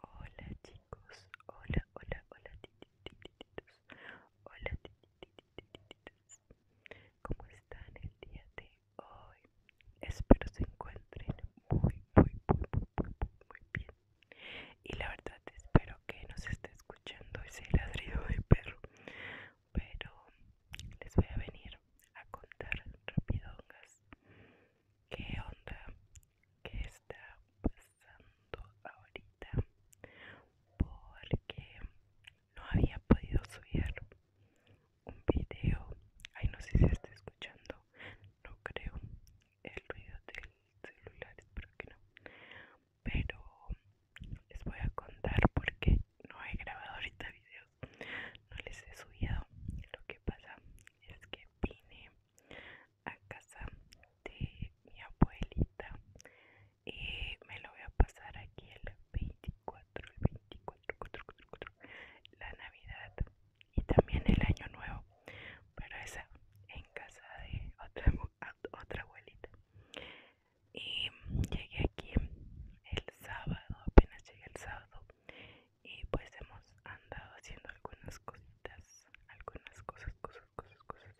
Hola chicos, hola, hola, hola tititititos, hola ¿cómo están el día de hoy? Espero se encuentren muy, muy, muy, muy, muy bien. Y la verdad espero que nos esté escuchando ese ladrido de perro, pero les voy a venir a contar rapidongas ¿Qué onda? ¿Qué está pasando ahorita? Porque no había podido subir un video. Ay, no sé si está escuchando. No creo. El ruido del celular, espero que no. Pero les voy a contar porque no he grabado ahorita videos. No les he subido. Lo que pasa es que vine a casa de mi abuelita y me lo voy a pasar aquí el 24, y 24, la Navidad y también el Año Nuevo, pero esa en casa de otra, otra abuelita. Y llegué aquí el sábado, apenas llegué el sábado y pues hemos andado haciendo algunas cositas, algunas cosas, cosas, cosas, cosas.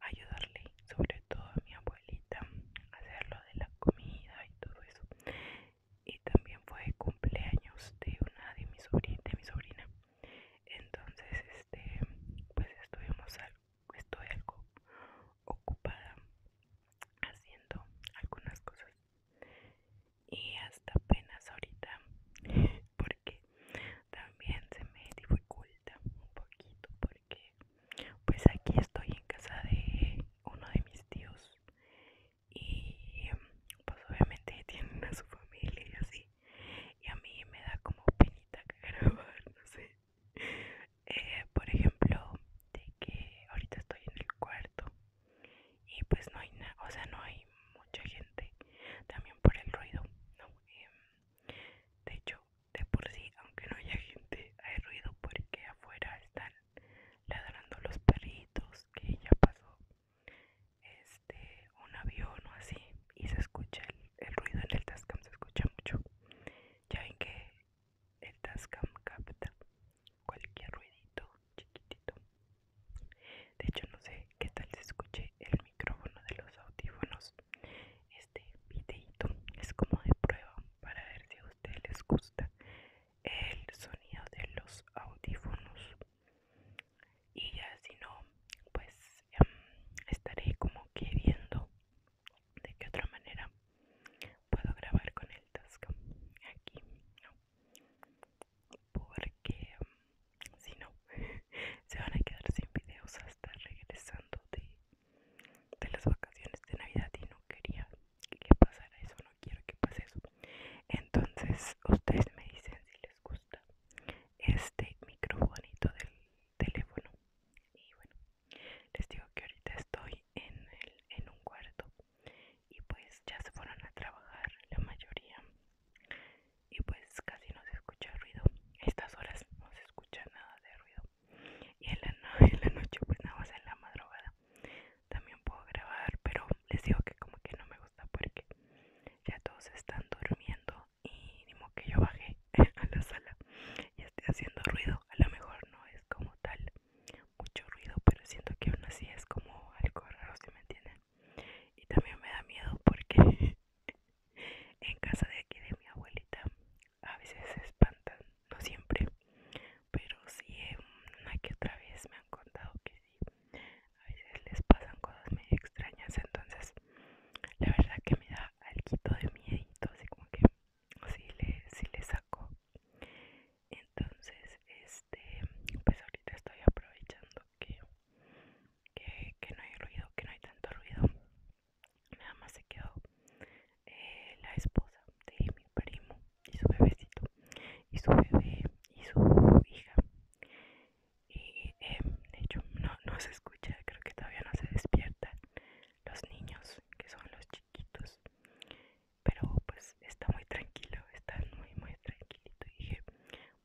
Ayudarle sobre todo a mi abuelita a hacer lo de la comida y todo eso. Y también fue cumpleaños de una de mi sobrina, mi sobrina. Entonces, este, pues estuvimos algo, estoy algo ocupada haciendo algunas cosas y hasta apenas ahorita porque también se me dificulta un poquito porque pues aquí estoy en casa de uno de mis tíos y pues obviamente tienen a su familia y así y a mí me da como penita que grabar no sé eh, por ejemplo de que ahorita estoy en el cuarto y pues no hay o sea, no hay mucha gente también por el ruido, em, de hecho, de por sí, aunque no haya gente, hay ruido porque afuera están ladrando los perritos, que ya pasó este un avión o así, y se escucha el, el ruido en el Tascam, se escucha mucho. Ya ven que el Tascam capta cualquier ruidito chiquitito. De hecho, no sé qué tal se escuche el micrófono de los audífonos. Este videito es como de prueba para ver si a ustedes les gusta el sonido de los audífonos. Y ya si no, pues em, estaré como queriendo de qué otra manera puedo grabar con el Tascam aquí porque mm, si no se van a quedar sin videos hasta regresando de, las vacaciones de navidad y no quería que pasara eso no quiero que pase eso entonces ustedes me dicen si les gusta este microfonito del teléfono y bueno les digo que ahorita estoy en, en un cuarto y pues ya se fueron a trabajar la mayoría y pues casi no se escucha ruido estas horas no se escucha nada de ruido y en la, noche pues nada más en la madrugada también puedo grabar pero les digo que como que no me gusta porque ya todos están durmiendo y ni que yo baje a la sala y esté haciendo ruido a lo mejor no es como tal mucho ruido, pero siento que aún así es como algo raro, si me entienden. Y también me da miedo porque en casa de aquí de mi abuelita a veces se espantan, no siempre, pero si em, una que otra vez me han contado que sí, a veces les pasan cosas muy extrañas, entonces la verdad que me da algo de miedo así como que si le, le saco. Entonces, es este, pues ahorita estoy aprovechando que, que, no hay ruido, que no hay tanto ruido. Nada más se quedó eh, la esposa de mi primo y su bebecito y su bebé y su hija. Y eh, de hecho no, no se escucha, creo que todavía no se despiertan los niños que son los chiquitos pero pues está muy tranquilo, está muy muy tranquilito y dije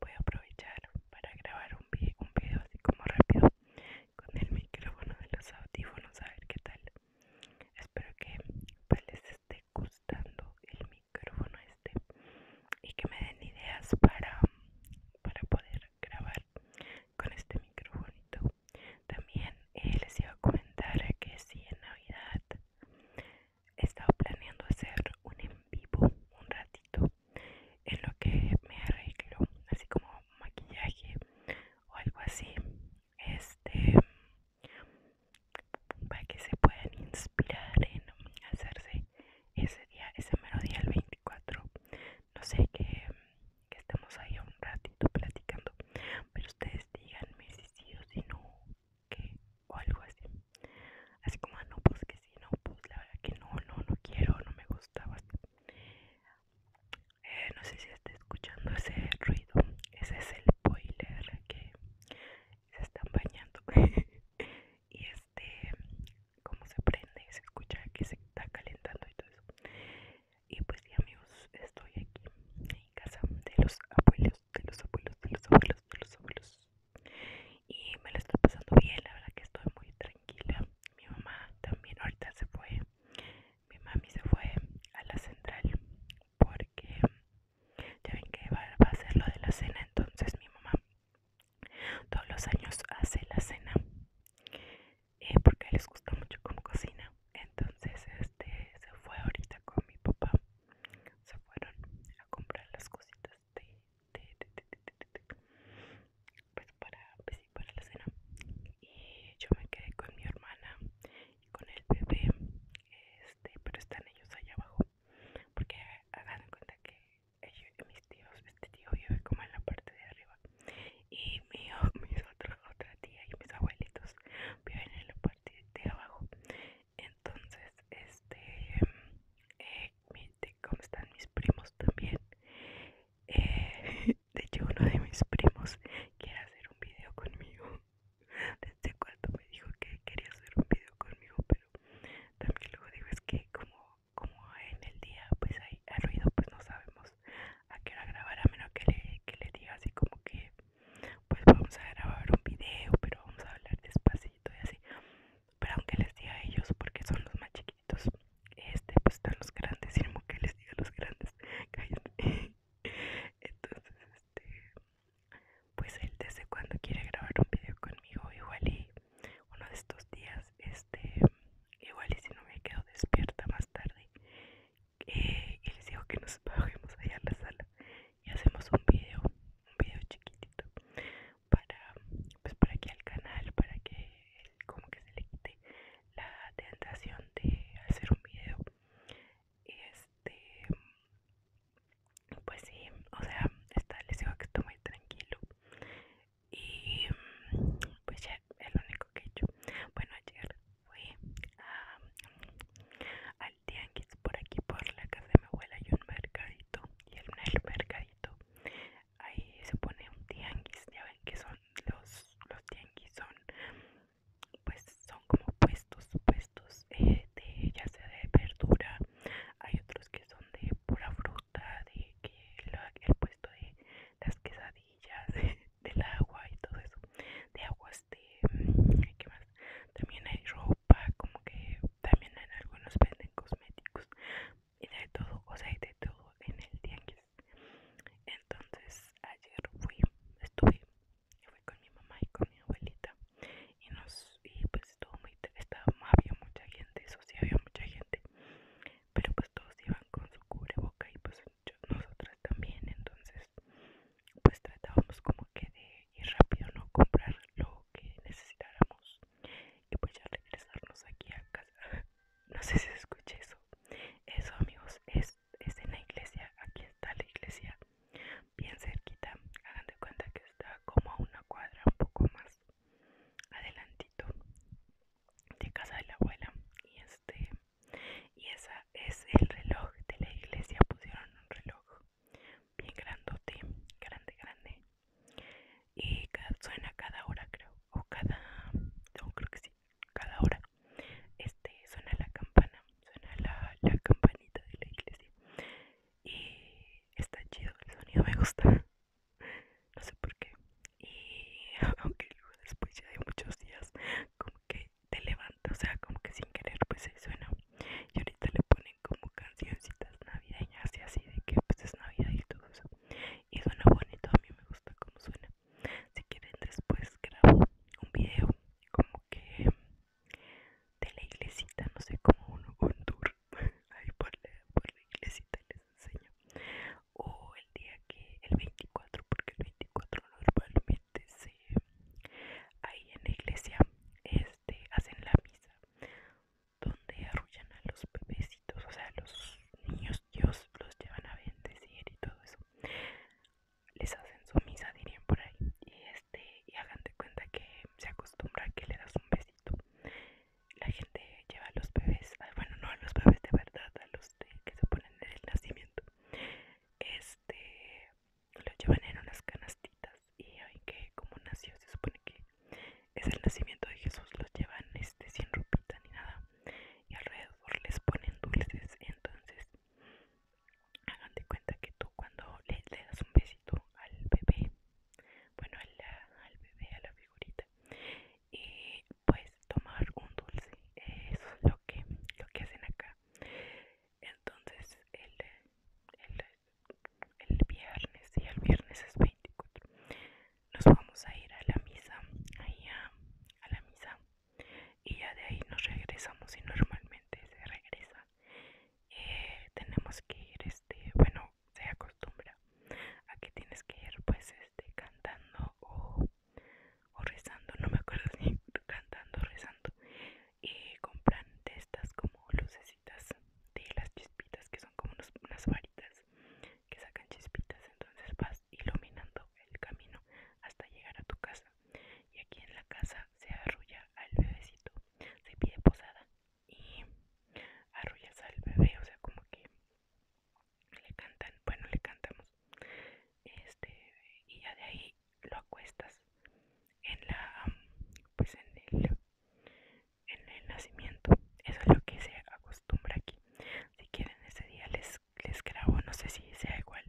voy a aprovechar para grabar un, video así como rápido con el micrófono de los audífonos a ver qué tal espero que pues, les esté gustando el micrófono este y que me den ideas para, poder grabar con este micrófono también eh, les iba a comentar que si en navidad estaba planeando hacer un en vivo un ratito en lo que me arreglo, así como maquillaje o algo así, este para que se puedan inspirar en hacerse ese día, mero día el 24. No sé qué que estemos ahí un ratito platicando, pero ustedes díganme si sí o si no, o algo así así como ah, no pues que sí no pues la verdad que no no no quiero no me gusta eh, no sé si está escuchando ese ruido ese es el boiler que se están bañando y este como se prende se escucha que se está calentando y todo eso y pues ya amigos estoy aquí casa de los abuelos, de los abuelos, de los abuelos, de los abuelos. Y me lo estoy pasando bien, la verdad que estoy muy tranquila. Mi mamá también ahorita se fue. Mi mami se fue a la central porque ya ven que va, a hacer lo de la cena, entonces mi mamá todos los años hace la cena eh, porque les gusta mucho como cocina entonces este se fue ahorita con mi papá se fueron a comprar las cositas de, para, la cena y yo me quedé con mi hermana y con el bebé este pero están ellos allá abajo porque hagan cuenta que mis tíos este tío vive como en la parte de arriba y mi, mis otros otra tía y mis abuelitos viven en la de abajo entonces este eh, cómo están mis primos también eh, de hecho uno de mis primos quiere hacer un video conmigo desde cuando me dijo que quería hacer un video conmigo pero también luego digo es que como como en el día pues hay ruido pues no sabemos a qué hora grabar a menos que le, que le diga así como que pues vamos a grabar un video, pero vamos a hablar despacito y así. Pero aunque les diga a ellos, porque son los más chiquitos, este pues están los grandes, y no que les diga los grandes, cállate. Entonces, este, pues él desde cuando quiere grabar un video conmigo, igual y uno de estos días, este, igual y si no me quedo despierta más tarde eh, y les digo que nos bajemos allá a la sala y hacemos un video, un video chiquitito para pues para que al canal, para que como que se le quite la tentación de hacer un video. Este pues sí, o sea, está, les digo que estoy muy tranquilo. Y pues ya, el único que he hecho. Bueno, ayer fui a tianguis por aquí por la casa de mi abuela hay un mercadito y en el mercadito ahí se pone un tianguis ya ven que son los los tianguis son pues son como puestos puestos eh, de ya sea de verdura hay otros que son de pura fruta de que el puesto de las quesadillas del agua y todo eso de aguas este, de también hay ropa como que también hay algunos venden cosméticos y de todo o sea hay de todo en el tianguis entonces ayer fui estuve fui con mi mamá y con mi abuelita y nos y pues estuvo muy estaba había mucha gente eso sí había mucha gente pero pues todos iban con su cubreboca y pues nosotras también, entonces pues tratábamos como que de ir rápido, no comprar lo que necesitáramos y pues ya regresarnos aquí a casa. No sé si se escucha eso. Eso amigos, es, es en la iglesia, aquí está la iglesia, bien cerquita, hagan de cuenta que está como a una cuadra un poco más adelantito de casa de la abuela y este y esa es el reloj de la iglesia. Pusieron un reloj bien grandote, grande, grande. Y suena cada hora, creo. O cada. No, creo que sí. Cada hora. Este suena la campana. Suena la, la campanita de la iglesia. Y está chido. El sonido me gusta. No sé por qué. Y aunque luego después ya de muchos días, como que te levanta, o sea, como que sin querer pues se suena. Y ahorita le ponen como cancioncitas navideñas y así de que pues es Navidad y todo eso. Y suena bonito, a mí me gusta cómo suena. Si quieren después grabo un video como que de la iglesita, no sé, como uno un tour ahí por la, por la iglesita les enseño. O el día que, el 24, porque el 24 cuatro normalmente ahí en la iglesia este hacen la misa donde arrullan a los bebecitos o sea los niños Dios los llevan a bendecir y todo eso les hacen su misa dirían por ahí y este y hagan de cuenta que se acostumbra que le das un besito la gente lleva a los bebés ah, bueno no a los bebés de verdad a los que se ponen en el nacimiento este lo llevan en unas canastitas y hay que como nació se supone que es el nacimiento de Jesús los llevan este sin ropita ni nada y alrededor les ponen dulces entonces hagan de cuenta que tú cuando le, das un besito al bebé bueno al, al bebé a la figurita y pues tomar un dulce eso es lo que lo que hacen acá entonces el, viernes y el viernes es 24 nos vamos a ir a la misa ahí a, la misa y ya de ahí nos regresamos y normalmente se regresa eh, tenemos que ir este bueno se acostumbra a que tienes que ir pues este cantando o o rezando, no me acuerdo si cantando o rezando, y compran de estas como lucecitas de las chispitas que son como unas varitas que sacan chispitas, entonces vas iluminando el camino hasta llegar a tu casa y aquí en la casa se arrulla al bebecito, se pide posada y arrullas al bebé, o sea como que le cantan, bueno le cantamos este y ya de ahí lo acuestas en la pues, en el nacimiento eso es lo que se acostumbra aquí si quieren ese día les les grabo no sé si sea igual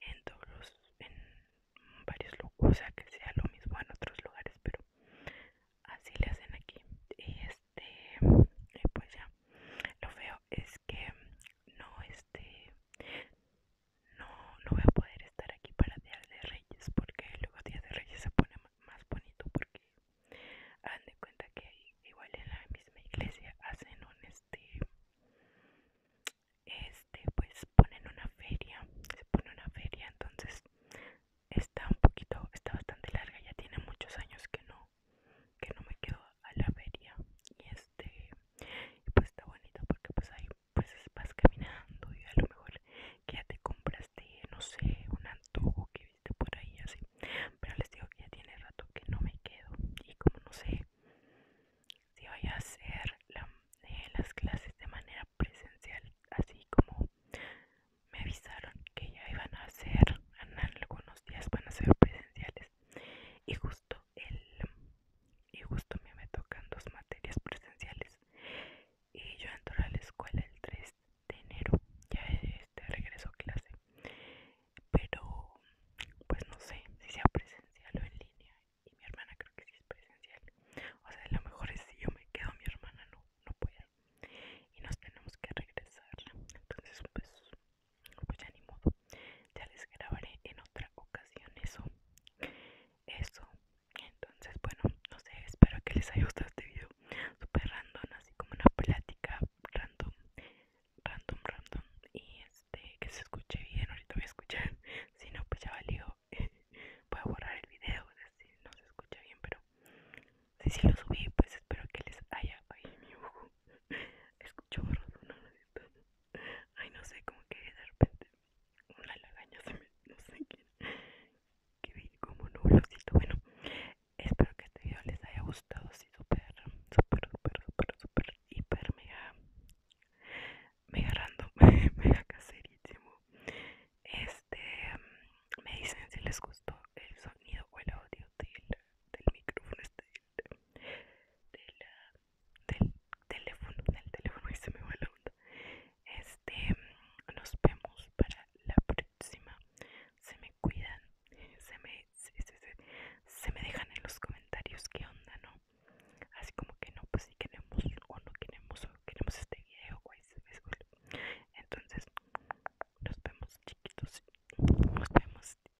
en todos en varios lugares o sea que sea lo mismo en otros lugares pero así le hacen aquí y este pues ya lo feo es que no este no no voy a poder estar aquí para Día de Reyes porque luego Día de Reyes se pone más bonito porque hagan de cuenta que igual en la misma iglesia hacen un este este pues ponen una feria se pone una feria entonces está un poquito está bastante larga ya tiene muchos años que no que no me quedo a la feria y este pues está bonito porque pues ahí pues vas caminando y a lo mejor que ya te compraste no sé un antojo que viste por ahí así pero les digo que ya tiene rato que no me quedo y como no sé si voy a hacer eh, las clases de manera presencial así como me avisaron que ya iban a hacer en algunos días van a ser presenciales y justo el y justo a mí me tocan dos materias presenciales y yo entro a la escuela el 3 de enero ya este regreso a clase pero pues no sé si sea presencial o en línea y mi hermana creo que sí es presencial o sea a lo mejor es si yo me quedo mi hermana no no puede y nos tenemos que regresar entonces pues pues ya ni modo ya les grabaré en otra ocasión eso eso entonces bueno no sé espero que les haya gustado este video super random así como una plática random random random y este que se escuche bien ahorita voy a escuchar si no pues ya valió voy a borrar el video si no se escucha bien pero si si lo subí pues espero que les haya ay mi escucho borroso Ay, no sé, cómo que de repente una lagaña se me. no sé quién. Que vi como nublosito. Bueno, espero que este video les haya gustado. Sí, súper, súper, súper, súper, súper, hiper, mega. mega random, mega caserísimo. Este. Me dicen si les gustó el sonido o el audio del, del micrófono. Este del teléfono, del teléfono y se me va la onda. Este, nos vemos para la próxima. Se me cuidan, se me, me dejan en los comentarios Que onda, ¿no? Así como que no, pues si queremos o no queremos, queremos este video, Entonces, nos vemos chiquitos, nos vemos.